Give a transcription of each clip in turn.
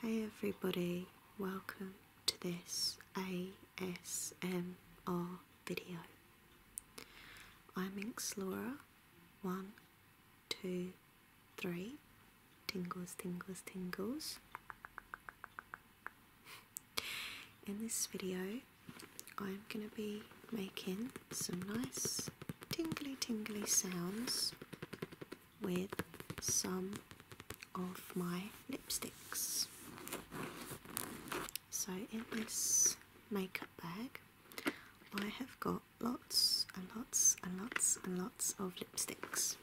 Hey everybody, welcome to this ASMR video. I'm Inkslora, one, two, three, tingles, tingles, tingles. In this video, I'm going to be making some nice tingly, tingly sounds with some of my lipsticks. So in this makeup bag I have got lots and lots and lots and lots of lipsticks.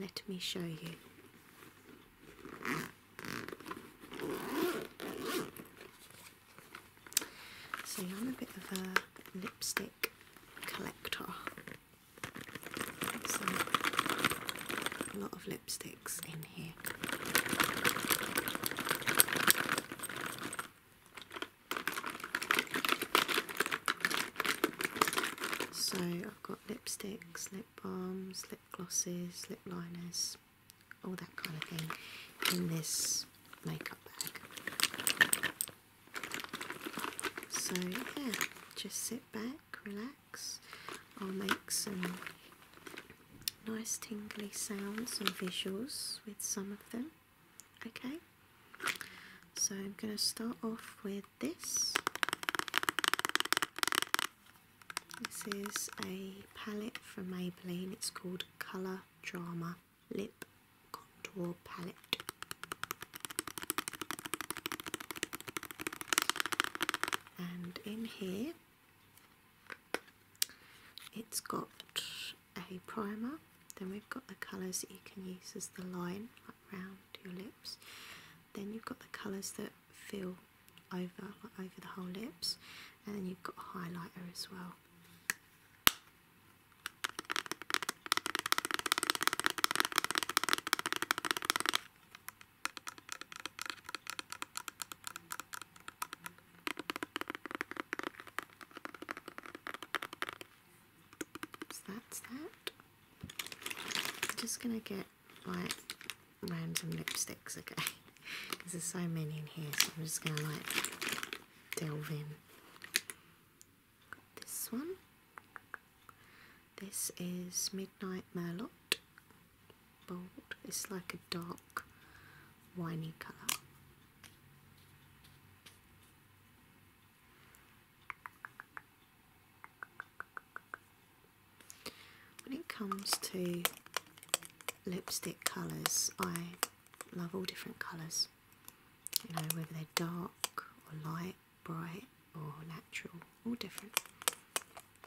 Let me show you. So I'm a bit of a lipstick collector. a lot of lipsticks in here. So I've got lipsticks, lip balms, lip glosses, lip liners, all that kind of thing in this makeup bag. So yeah, just sit back, relax. I'll make some nice tingly sounds and visuals with some of them. Okay, so I'm going to start off with this. This is a palette from Maybelline, it's called Colour Drama lip contour palette. And in here it's got a primer, then we've got the colours that you can use as the line around your lips, then you've got the colours that fill over over the whole lips, and then you've got a highlighter as well. So that's that. I'm just gonna get like random lipsticks, okay? Because there's so many in here, so I'm just gonna like delve in this one. This is Midnight Merlot Bold. It's like a dark winey colour. When it comes to lipstick colours, I love all different colours you know, whether they're dark or light, bright or natural, all different.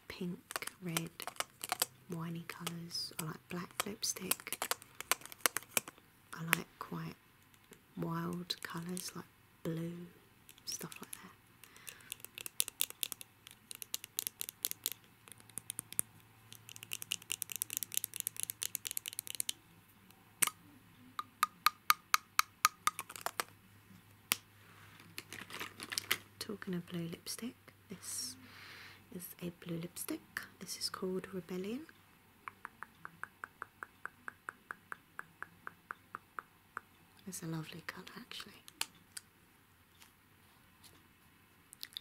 Pink, red, winey colours. I like black lipstick. I like quite wild colours like blue, stuff like that. Talking of blue lipstick, this is a blue lipstick. This is called Rebellion. It's a lovely colour actually.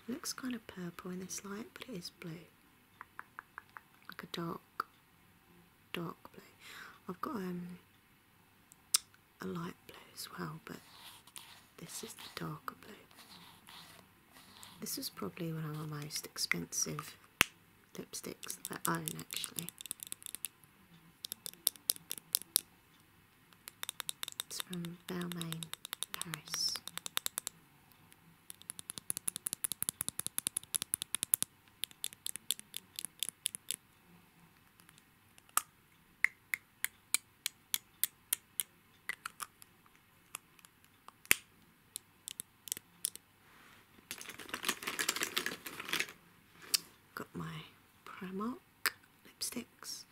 looks kind of purple in this light, but it is blue like a dark, dark blue. I've got um, a light blue as well, but this is the darker blue. This is probably one of my most expensive lipsticks that I own actually. It's from Belmain Paris. Got my Primark lipsticks.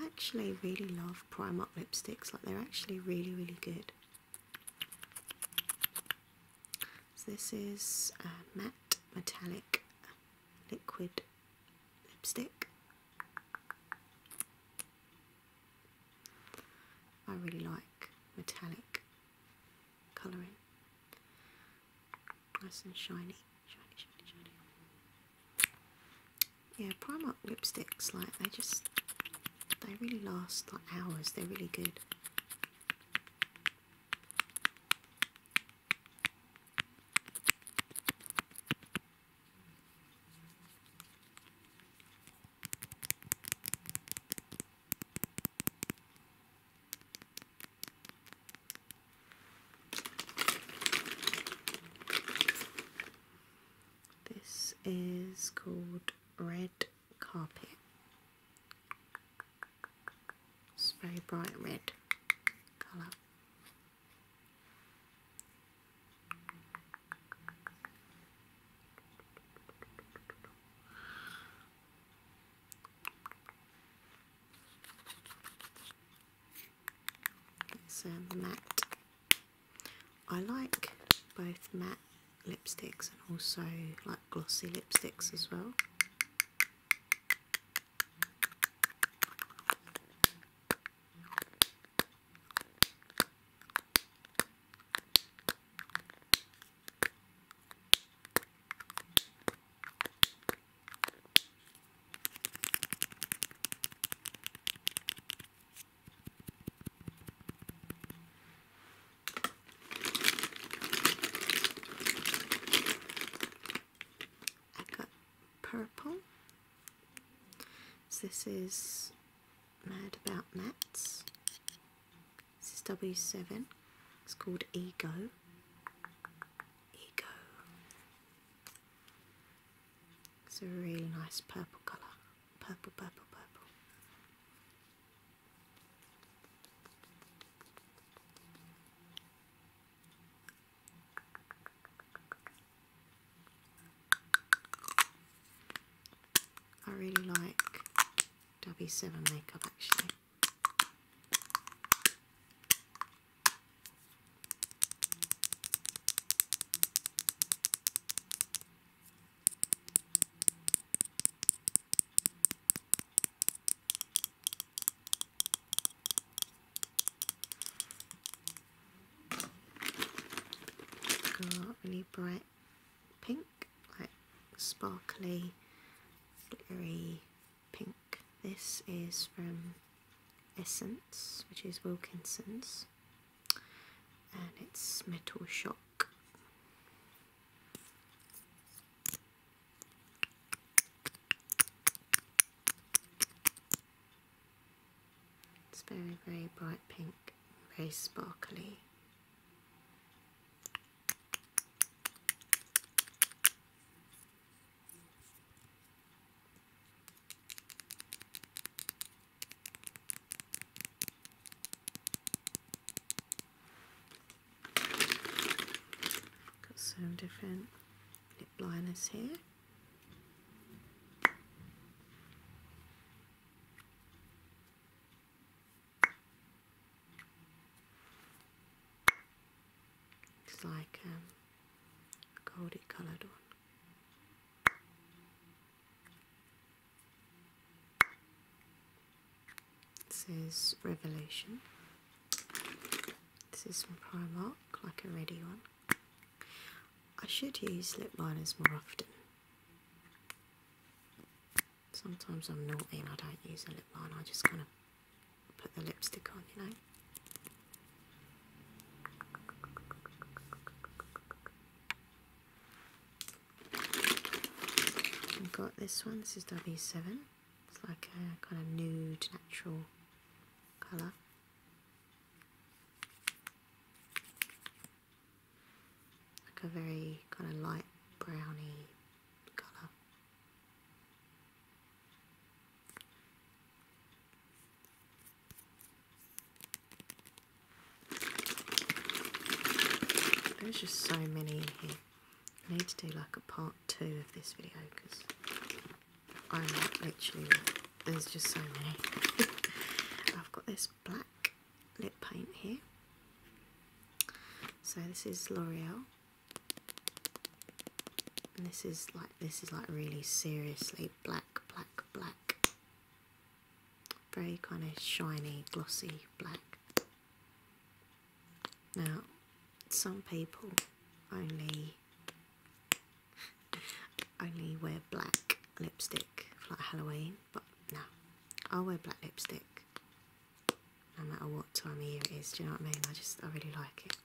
I actually really love Primark lipsticks, like they're actually really, really good. So this is matte metallic liquid lipstick. I really like metallic colouring. Nice and shiny, shiny, shiny, shiny. Yeah, Primark lipsticks, like, they just, they really last, like, hours. They're really good. This is called Red Carpet. It's very bright red colour. It's um, matte I like both matte lipsticks and also like glossy lipsticks as well. I got purple. So this is Mad About Mats. This is W7. It's called Ego. Ego. It's a really nice purple colour. Purple, purple, purple. I really like W7 makeup actually really bright pink, like sparkly, glittery pink. This is from Essence, which is Wilkinson's, and it's Metal Shock. It's very, very bright pink, very sparkly. Got some different lip liners here. It's like a um, goldy coloured one. This is Revelation. This is from Primark, like a ready one. I should use lip liners more often. Sometimes I'm naughty and I don't use a lip liner, I just kind of put the lipstick on, you know them. I've got this one, this is W7. It's like a kind of nude, natural colour. Like a very kind of light browny colour. There's just so many in here. I need to do like a part two of this video because I'm actually there's just so many. I've got this black lip paint here. So this is L'Oreal this is like this is like really seriously black, black, black. Very kind of shiny, glossy black. Now, some people only only wear black lipstick for like Halloween, but no, I wear black lipstick no matter what time of year it is. Do you know what I mean? I just I really like it.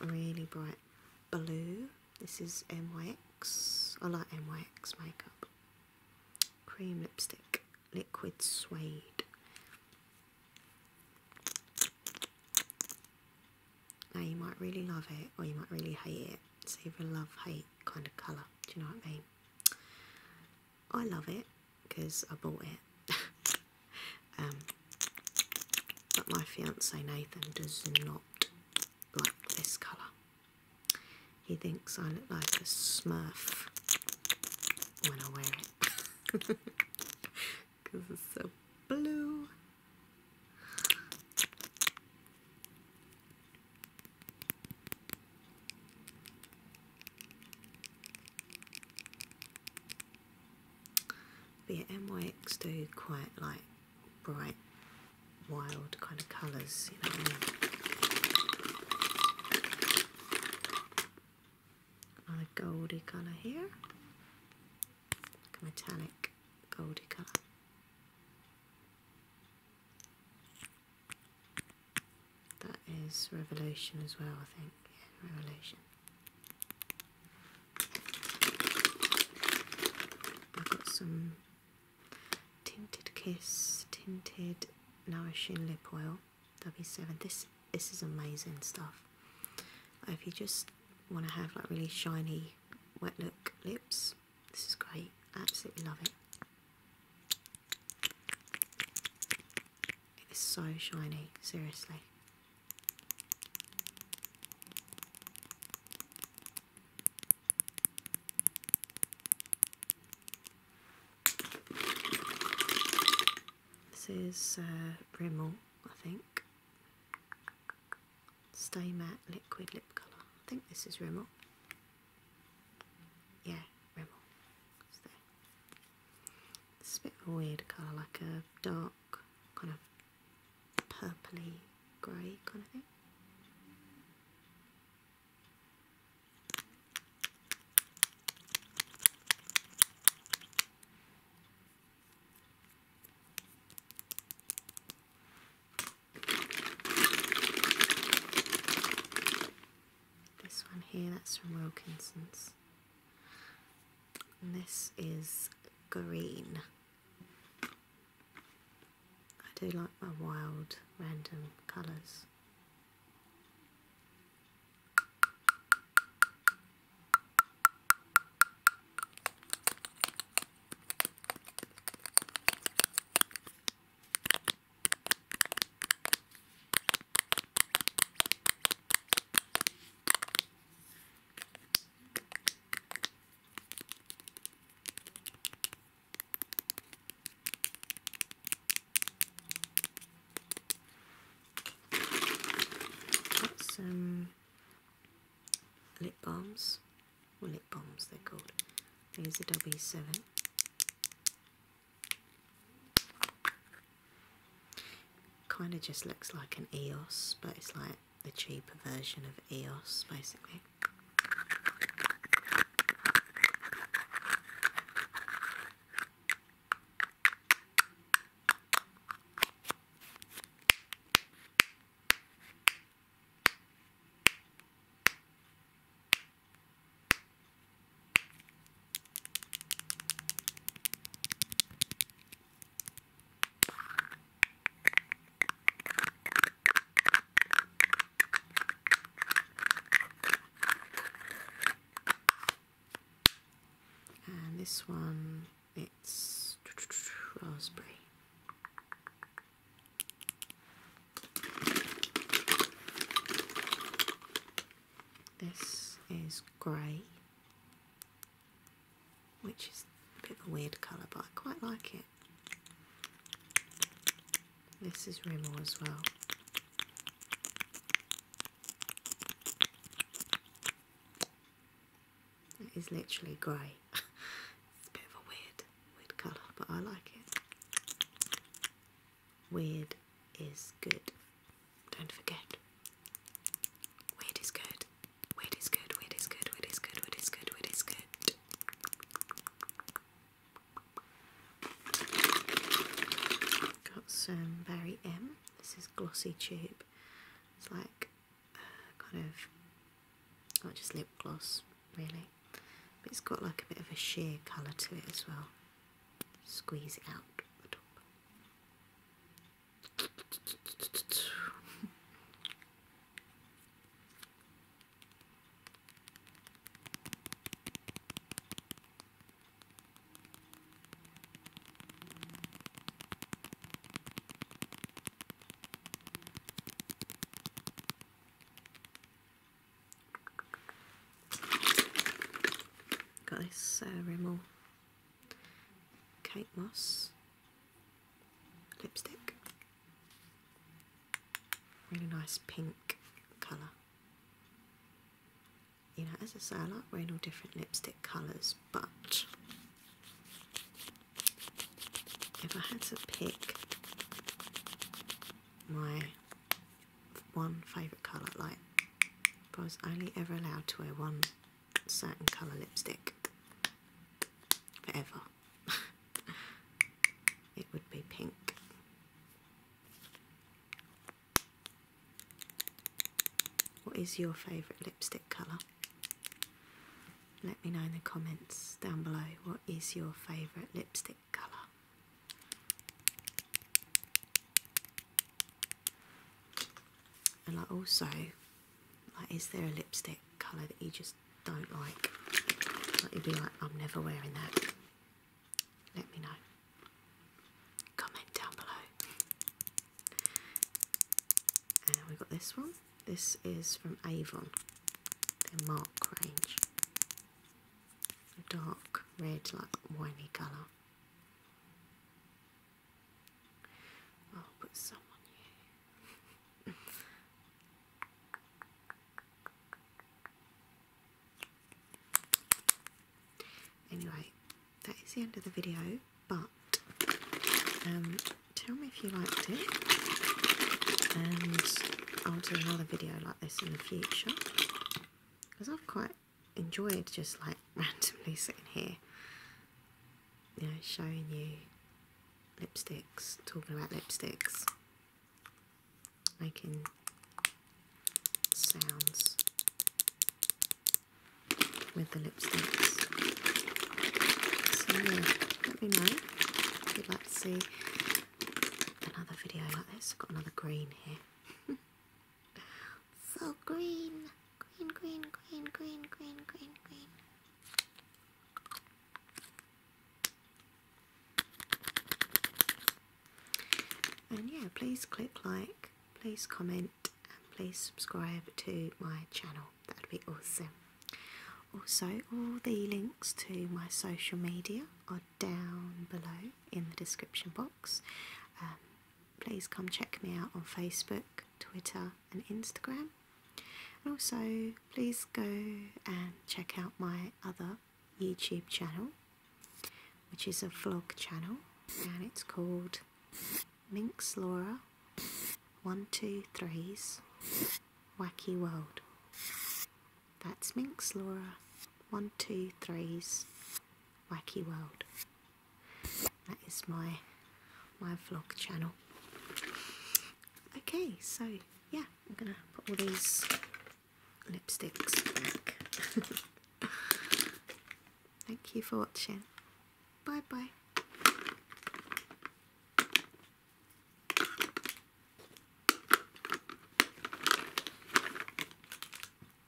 Really bright blue. This is Myx. I like Myx makeup. Cream lipstick, liquid suede. Now you might really love it or you might really hate it. It's either love, hate kind of colour. Do you know what I mean? I love it because I bought it. Um, but my fiance Nathan does not like this colour. He thinks I look like a smurf when I wear it because it's so blue. But yeah, MYX do quite like bright, wild kind of colours, you know. Another goldy colour here, metallic goldy colour. That is Revelation as well, I think. Yeah, Revelation. I've got some Tinted Kiss Tinted Nourishing Lip Oil W7. This this is amazing stuff. If you just want to have like really shiny wet look lips, this is great. Absolutely love it. It's so shiny, seriously. This is uh, Rimmel, I think. Stay Matte Liquid Lip Colour. I think this is Rimmel. Yeah, Rimmel. It's It's a bit of a weird colour, like a dark kind of purpley grey kind of thing. This one here, that's from Wilkinson's. this is green. I do like my wild, random colours some lip balms, or lip bombs they're called. These are W7. Kind of just looks like an EOS, but it's like the cheaper version of EOS, basically. And this one, it's raspberry. This is grey which is a bit of a weird colour, but I quite like it. This is Rimmel as well. It is literally grey. it's a bit of a weird, weird colour, but I like it. Weird is good. Don't forget. Weird is good. Wait is good, wait is good, wait is good, wait is good, wait is good. Got some Berry M. This is Glossy Tube. It's like uh, kind of, not well, just lip gloss really, but it's got like a bit of a sheer colour to it as well. Squeeze it out the top. Got this uh, Rimmel cake moss lipstick. Really nice pink colour. You know, as I say, I like wearing all different lipstick colours, but if I had to pick my one favourite colour, like if I was only ever allowed to wear one certain colour lipstick forever. it would be pink. What is your favourite lipstick colour? Let me know in the comments down below what is your favourite lipstick colour. And I also like, is there a lipstick colour that you just don't like? Like, you'd be like, I'm never wearing that. Let me know. Comment down below. And we got this one. This is from Avon, their Mark range. A dark red, like winey colour. anyway, that is the end of the video, but um, tell me if you liked it and I'll do another video like this in the future because I've quite enjoyed just like randomly sitting here you know, showing you lipsticks, talking about lipsticks, making sounds with the lipsticks. let me know if you'd like to see another video like this. I've got another green here. So green, green, green, green, green, green, green, green. And yeah, please click like, please comment, and please subscribe to my channel. That'd be awesome. Also, all the links to my social media are down below in the description box. Um, please come check me out on Facebook, Twitter, and Instagram. And also, please go and check out my other YouTube channel, which is a vlog channel, and it's called Minx Laura 123's Wacky World. That's Minx Laura 123's Wacky World. That is my my vlog channel. Okay, so yeah, I'm gonna put all these lipsticks back. Thank you for watching. Bye bye.